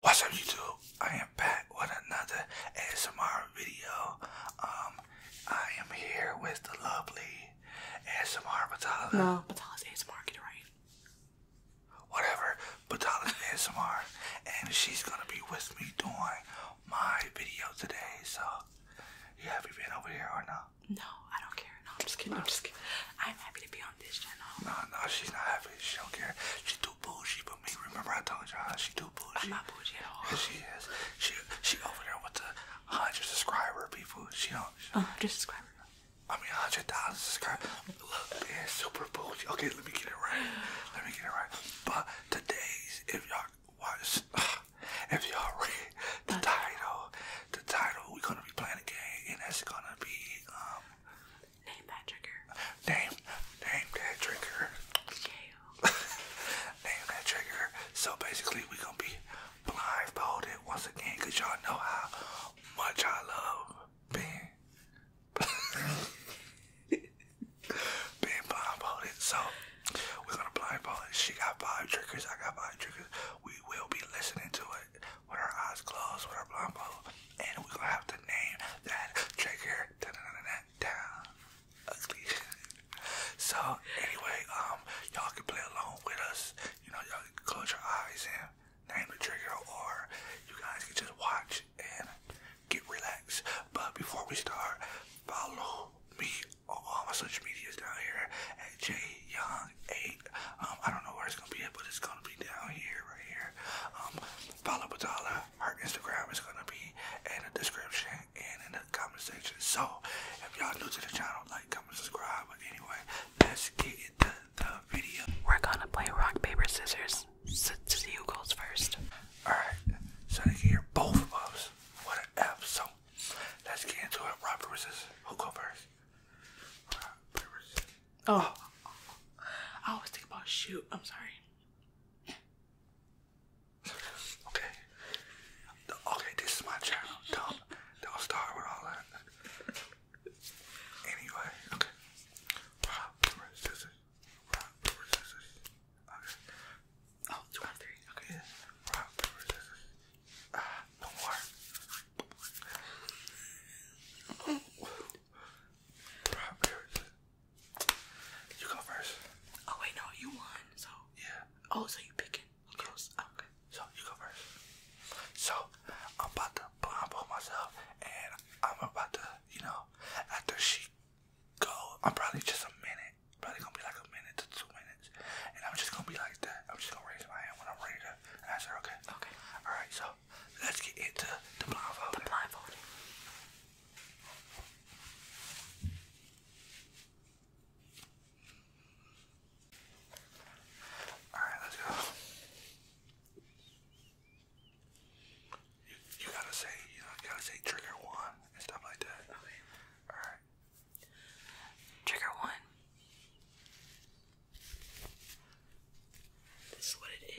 What's up, YouTube? I am back with another ASMR video. Um, I am here with the lovely ASMR Batala. No, Batala's ASMR, get it right. Whatever. Batala's ASMR, and she's gonna be with me doing my video today. So, you happy being over here or no? No, I don't care. No, I'm just kidding. I'm just kidding. I'm happy to be on this channel. No, no, she's not happy. She don't care. She too bougie, but me. Remember, I told y'all she too bougie. I'm not bougie at all. Yeah, she is. She she over there with the hundred subscriber people. She don't. She do subscriber. I mean, hundred thousand subscribers. Look, man, super bougie. Okay, let me get it right. Let me get it right. But today's, if y'all watch, if y'all read the title, the title, we're gonna be playing a game, and that's gonna be um. Name that trigger. Name, name that trigger. Yeah. name that trigger. So basically, we're gonna be blindfolded once again, cause y'all know how much I love being Being blindfolded. So we're gonna blindfold She got five triggers, I got five triggers. We will be listening to it with our eyes closed, with our blindfold, and we're gonna have to name that trigger So anyway, um y'all can play along with us. You know, y'all can close your eyes and name the trigger or you guys can just watch and get relaxed. But before we start, follow me on all my social medias down here at Jay Young 8. Um, I don't know where it's gonna be at, but it's gonna be down here, right here. Um, follow Batala. Her Instagram is gonna be in the description and in the comment section. So if y'all new to the channel, like, comment, subscribe. But anyway, let's get into the video. We're gonna play rock, paper, scissors. S since you goes first. Alright, so they can hear both of us. What an So let's get into it. Rob, versus who go first? oh. I always think about shoot. I'm sorry. Okay. Okay, this is my channel. Don't, don't start with all that. Anyway, okay rock, Okay. Ah, no more. You go first. Oh wait, no, you won. So. Yeah. Oh, so you picking? Okay. Yeah. Okay. So you go first. So I'm about to blindfold myself, and I'm about to, you know, after she go. I'm probably just a minute. Probably gonna be like a minute to two minutes. And I'm just gonna be like that. I'm just gonna raise my hand when I'm ready to said, okay? Okay. Alright, so let's get into the blindfold. The blindfold. Alright, let's go. You, gotta say, you, know, gotta say trigger one and stuff like that. Alright. Trigger one. This is what it is.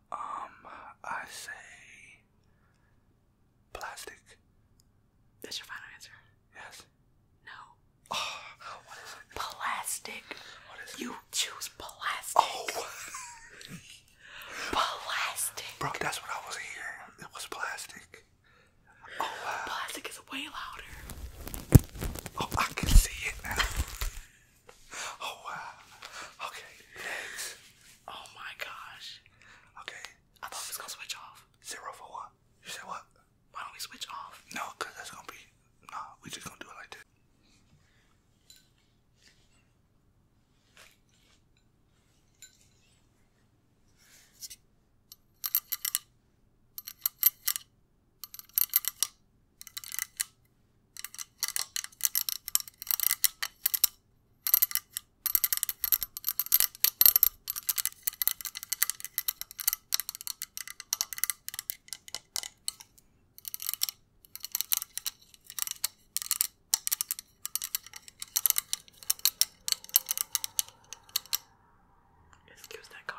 Um, I say plastic. That's your final answer? Yes. No. Oh, what is it? Plastic. What is it? You choose plastic. Oh. plastic. Bro, that's what I was hearing. It was plastic. Oh, Plastic is way louder. Oh, I can see it now oh wow. Okay, next. Oh my gosh. Okay. I thought it was gonna switch off. Zero for what? You said what? Why don't we switch off? No, that's gonna be nah, we just gonna do it like this. Excuse that car.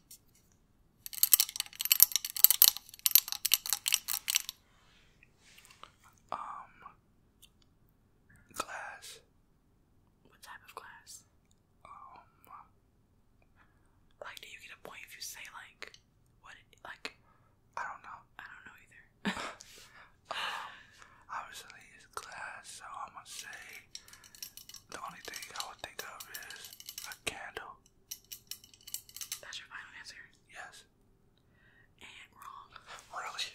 Um, glass. What type of glass? Um, like, do you get a point if you say like what? like, I don't know. I don't know either. Um, obviously glass, so I'm gonna say the only thing I would think of is a candle. That's your final answer? Yes. And wrong. Really?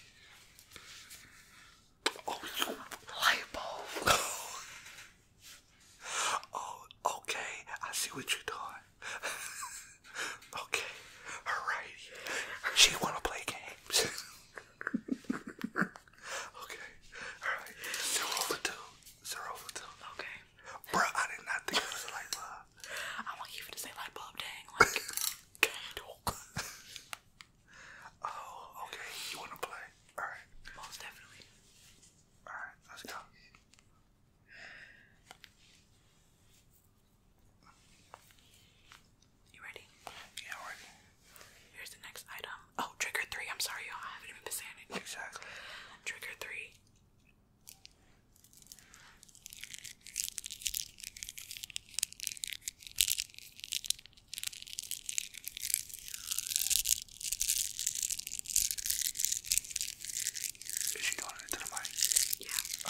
Oh, light bulb. oh, okay. I see what you're doing. okay. Alright. She wanna play games. Okay. Alright. Zero for two. Zero for two. Okay. Bruh, I did not think it was a light bulb. I want you to say light bulb, dang. Like, candle. oh, okay. You want to play? Alright. Most definitely. Alright, let's go. You ready? Yeah, I'm ready. Here's the next item. Oh, trigger three. I'm sorry, y'all. I haven't even been saying it. Exactly. Trigger three. Is she doing it to the mic? Yeah.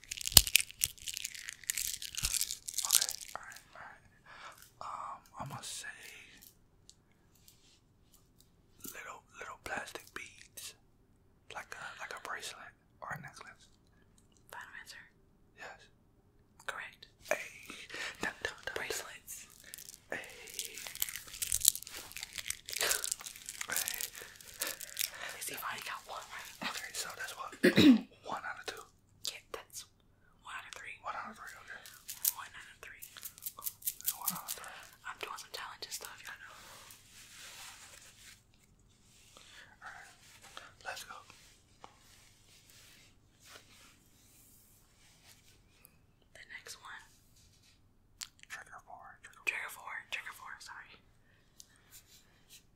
Okay, alright, alright. Um, I'm gonna say little little plastic beads, like a like a bracelet or a necklace. Final answer. Yes. Correct. Hey, dun, dun, dun, bracelets. Hey. hey. At least you got one right. Okay, so that's what. One out of two. Yeah, that's one out of three. One out of three, okay. One out of three. One out of three. I'm doing some challenging stuff, y'all know. Alright, let's go. The next one. Trigger four. Trigger, four. Trigger four. Sorry.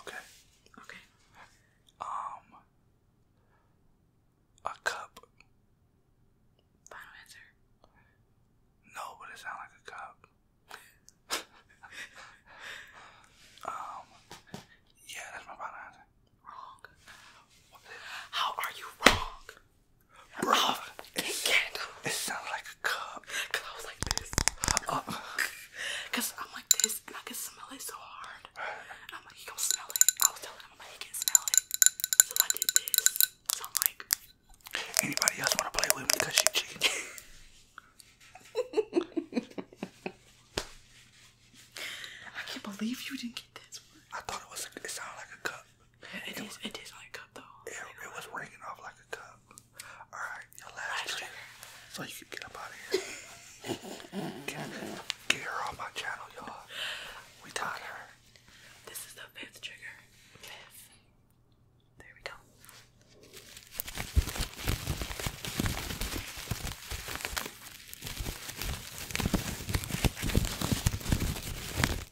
Okay. Okay. Um a cup. Final answer. No, but it sounds like a cup. um yeah, that's my final answer. Wrong. How are you wrong? Bro, oh, it, it sounds like a cup. Cause I was like this. Uh. Cause I'm like this and I can smell it so hard. I'm like, you gonna smell it. I was telling him, I'm like, he can smell it. So I did this. So I'm like, anybody else wanna play with me? Cause she cheated. I can't believe you didn't get this one. I thought it was. it sounded like a cup. It is. it, like a cup though. It, was ringing off like a cup. Alright, your last, last So you can get up out of here. get, her on my channel, y'all. We taught her. This is the fifth trigger. Fifth. There we go.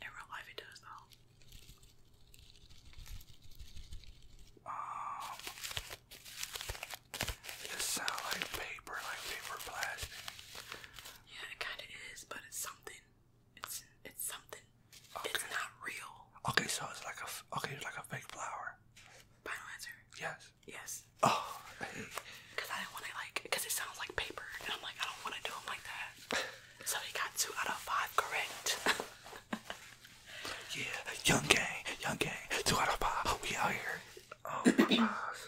In real life, it does though. Um, it sound like paper, like paper plastic. Yeah, it kind of is, but it's something. It's it's something. It's not real. Okay, so it's like a okay, it's like a fake flower. Final answer. Yes. Yes. Oh. Because I didn't want to like, because it sounds like paper, and I'm like, I don't want to do them like that. So he got two out of five correct. yeah, young gang, young gang, two out of five. We out here. Oh my gosh.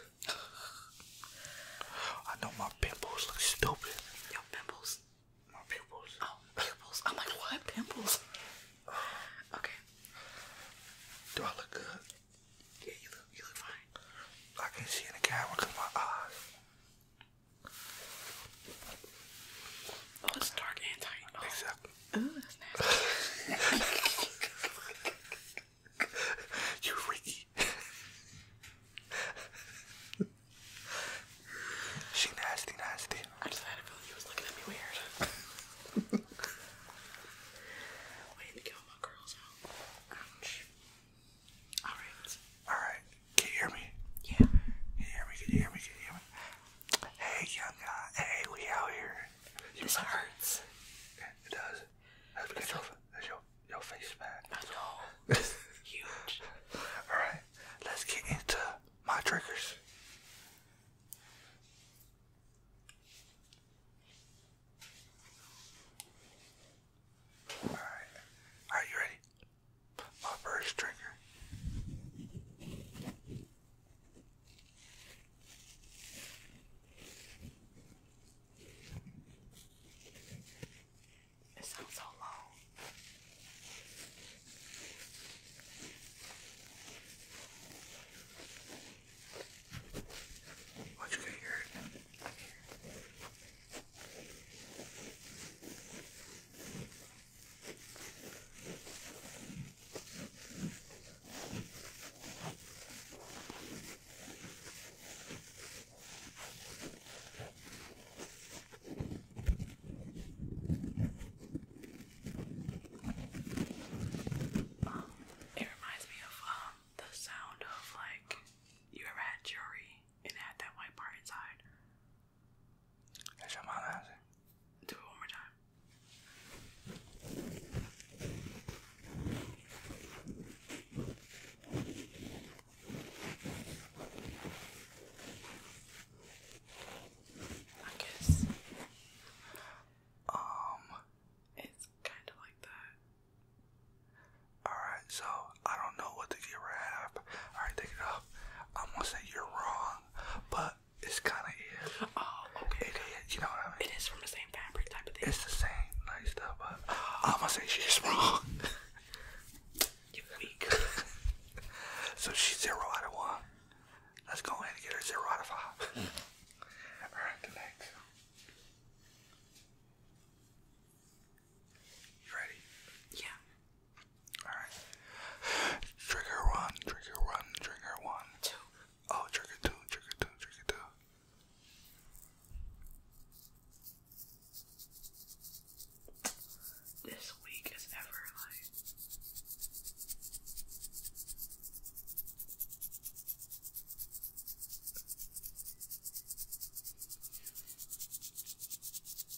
I know my pimples look stupid. Your pimples? My pimples. Oh, pimples. I'm like, what? Pimples? Okay. Do I look good? Yeah, you look, you look fine. I can see in the camera because my eyes. Oh, it's dark and tight. Oh. that's nasty. you freaky. she nasty, nasty. I just had a feeling he was looking at me weird. Waiting to kill my girls out. Ouch. All right. All right. Can you hear me? Yeah. Can you hear me? Can you hear me? Can you hear me? Hey, young Hey, we out here. this hurts. It does. That's because your, your, your face back. I know. huge. All right. Let's get into my triggers. All right. Are you ready? my first trigger. It sounds so long. What you can hear hear um, it reminds me of um, the sound of like you ever had jewelry and had that white part inside. Do it one more time. I guess um it's kind of like that. All right, so I don't know what to give Alright, take it off. I'm gonna say you're wrong, but it's kind of is. It is, you know It is from the same fabric type of thing. It's the same nice stuff, but I'm gonna say she's wrong. so she's zero out of one. Let's go ahead and get her zero out of five. Alright, the you ready? Yeah. Alright. Trigger one, trigger one, trigger one. Two. Oh, trigger two, trigger two, trigger two. This week is ever like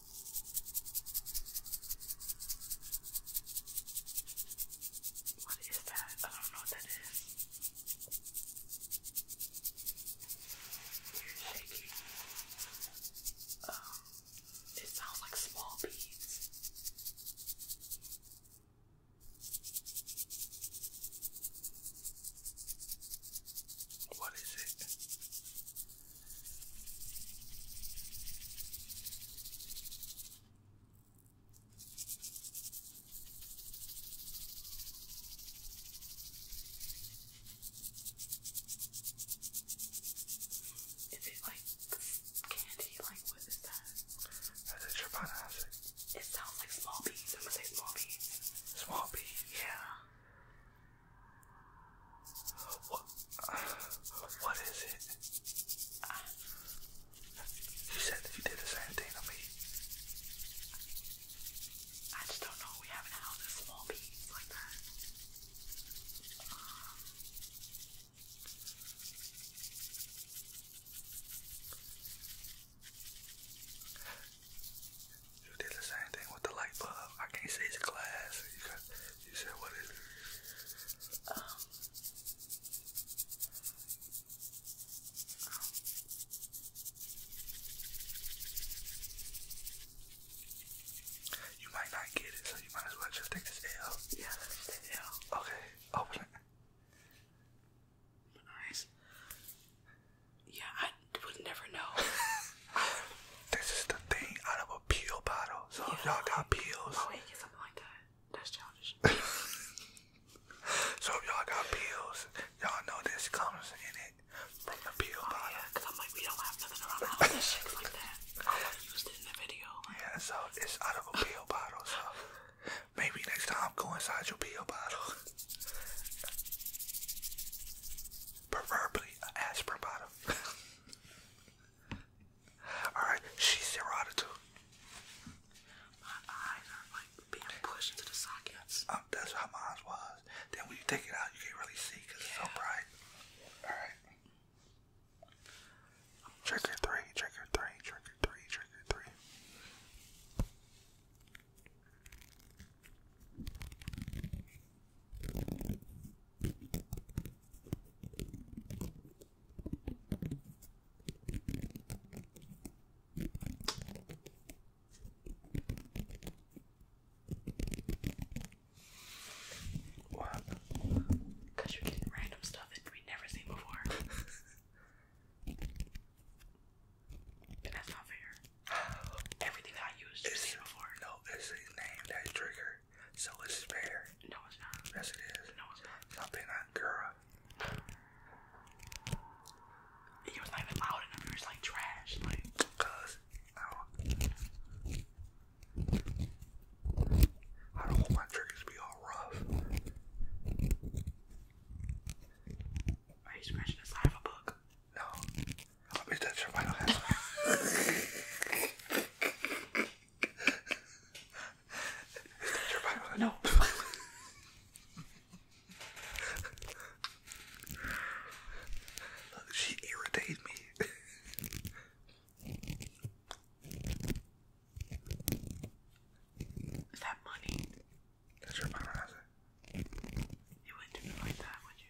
What is that? I don't know what that is. You're shaking. Um, it sounds like small beads. What is it? Is it like candy? Like what is that? That's a Chopin acid. It sounds like small beans. I'm gonna say small beans. Small beans? Yeah. What? What is it? You said you did the same thing to me. I just don't know. We haven't held a small piece like that. you did the same thing with the light bulb. I can't see the glass. You said what is um, you might not get it, so you might as well just take this L. Yeah, let me take the L. Okay, open it. My eyes. Yeah, I would never know. This is the thing out of a peel bottle. So if y'all got peels. Oh, wait, gets something like that. That's childish. so if y'all got peels, y'all know this comes in it from the peel oh, bottle. because I'm like, we don't have nothing around the house that shakes like that. I used it in the video. Yeah, so it's out of a peel bottle. So maybe next time go inside your peel bottle. Preferably an aspirin bottle. Alright, she's zero out of My eyes are like being pushed into the sockets. Um, that's how mine was. Then when you take it out, you can't really see it's so bright. Alright. Trigger three, trigger three, trigger three, trigger three. What? Because you're getting random stuff that we never seen before. and that's not fair. Everything I used, you've it's, seen before. his name that triggered so it's is fair. No, it's not. Yes, it is. No, it's not. Stop being that girl. He was not loud enough. He was like trash. Like, cuz, I don't want my triggers to be all rough. Are you scratching the side of a book? No. I'll be that your final hat. your final hat? No. she irritates me. Is that money? That's your final hat. You wouldn't do me like that, would you?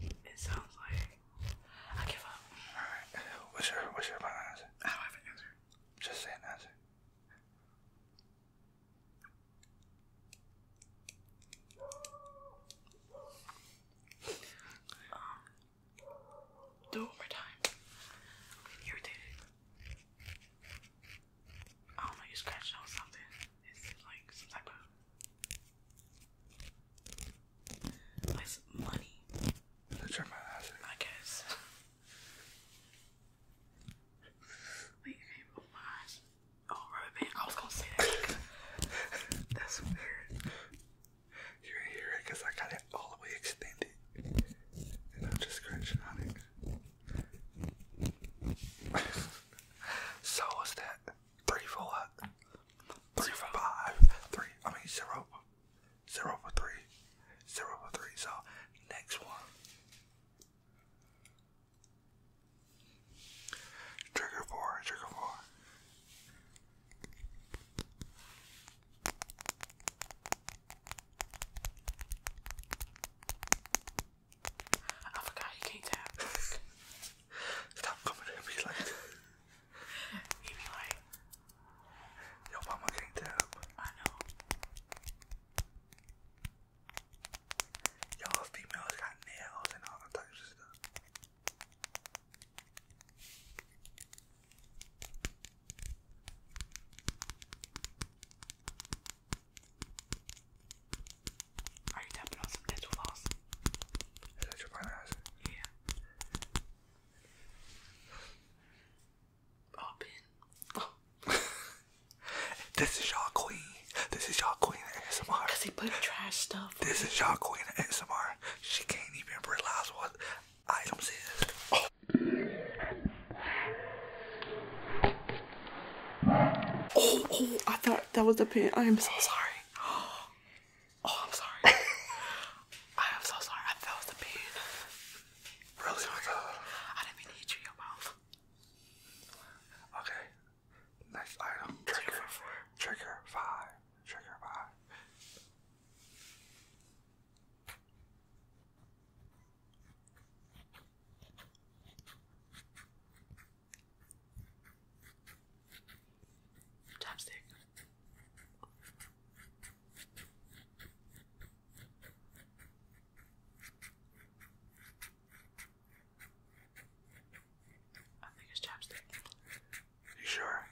It sounds like I give up. Alright, what's your what's your final answer? I don't have an answer. Just say an answer. Um, do it one more time. I'm getting I don't know, you scratched on something. It's like some Nice I guess. Wait, Oh my gosh. Oh, rubber band. I was gonna say that. That's weird. You ain't hear it I got it all the way extended. And I'm just scratching so, what's that? three I mean zero, zero four three, zero four three. So next one. Trigger four. Trigger four. I forgot you can't tap. Stop coming at me like He'd be like, Your mama can't tap. I know. you females got nails and all types of stuff. Are you tapping on some dental floss? Is that your plan? Yeah. Open. Oh. this is y'all queen. This is y'all queen ASMR. Cause they put trash stuff. This is y'all queen ASMR. She can't even realize what items is. Oh. Oh, oh, I thought that was the pin. I am so sorry. Oh, I'm sorry. I am so sorry. I felt the pain. Really? Sorry. Oh I didn't mean to you your mouth. Okay. Next item. Trigger. Trigger five. Trigger five. Chapstick. I think it's chapstick. You sure?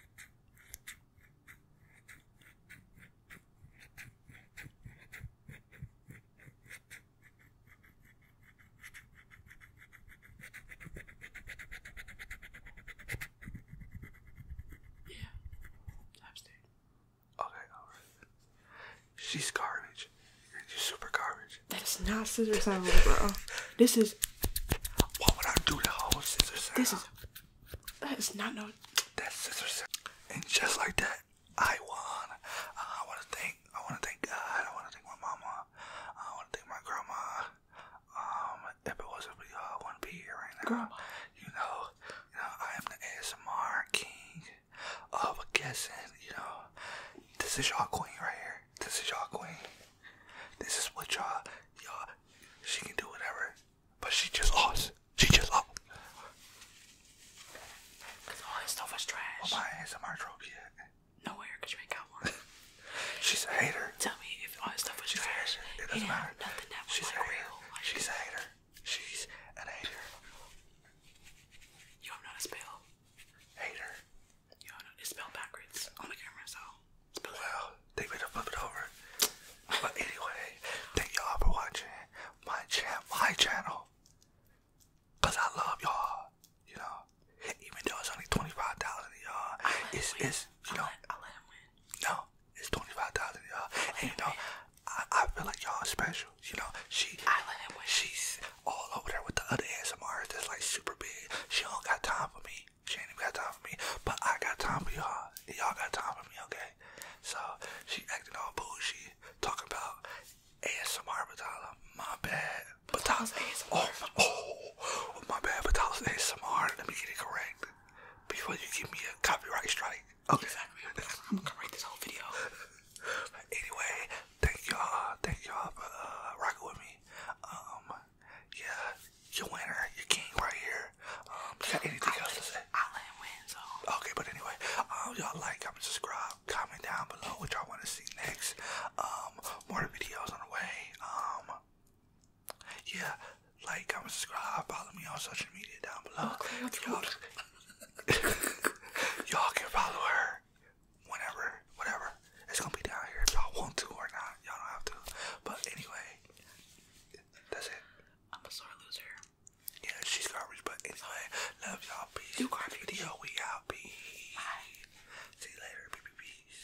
Yeah. Abstain. Okay, alright. She's garbage. You're super garbage. That is not scissor sound, bro. This is. What would I do to whole scissor sound? This is. That is not no. That's scissor sound. And just like that, I won. I want to thank. I want to thank God. I want to thank my mama. I want to thank my grandma if it wasn't for you I wouldn't be here right now. You know, you know, I am the ASMR king of guessing. You know, this is y'all queen right here. This is y'all queen. This is what y'all, y'all. She can do whatever, but she just lost. She just lost. all that stuff was trash. Well, my ASMR trophy yet. Nowhere, cause you ain't got one. She's a hater. Tell me if all that stuff was She's trash. It doesn't matter. Nothing that was She's a hater. real. She's a hater. She's an hater. Yo, I'm not spell. Hater. Yo, I'm it's spelled backwards on the camera, so. Spell they better flip it over. but anyway, thank y'all for watching my, cha my channel. Cause I love y'all, you know. Even though it's only twenty five thousand a yard, it's it's you know. No, it's twenty five thousand a yard, and you know, I, I feel like y'all special. You know, she I let him win. She's all over there with the other ASMRs that's like super big. She don't got time for me. She ain't even got time for me, but I got time for y'all. Y'all got time for me, okay? So she acting all bougie, talking about ASMR Batala. My bad, But Batala's ASMR. Oh, oh, Oh, my bad, but that was ASMR. Let me get it correct before you give me a copyright strike. Okay. I'm gonna write this whole video. anyway, thank y'all. Thank y'all for uh, rocking with me. Um, yeah, you winner, you king right here. Um, got anything else to say? I let him win, so. Okay, but anyway, um, y'all like, comment, subscribe, comment down below what y'all want to see next. Um, more videos on the way. Um, yeah, like, comment, subscribe, follow me on social media down below. Y'all can follow her whenever, whatever. It's gonna be down here y'all want to or not. Y'all don't have to. But anyway, that's it. I'm a sore loser. Yeah, she's garbage, but anyway, love y'all. Peace. You garbage. Video, we out. Peace. Bye. See you later. Peace.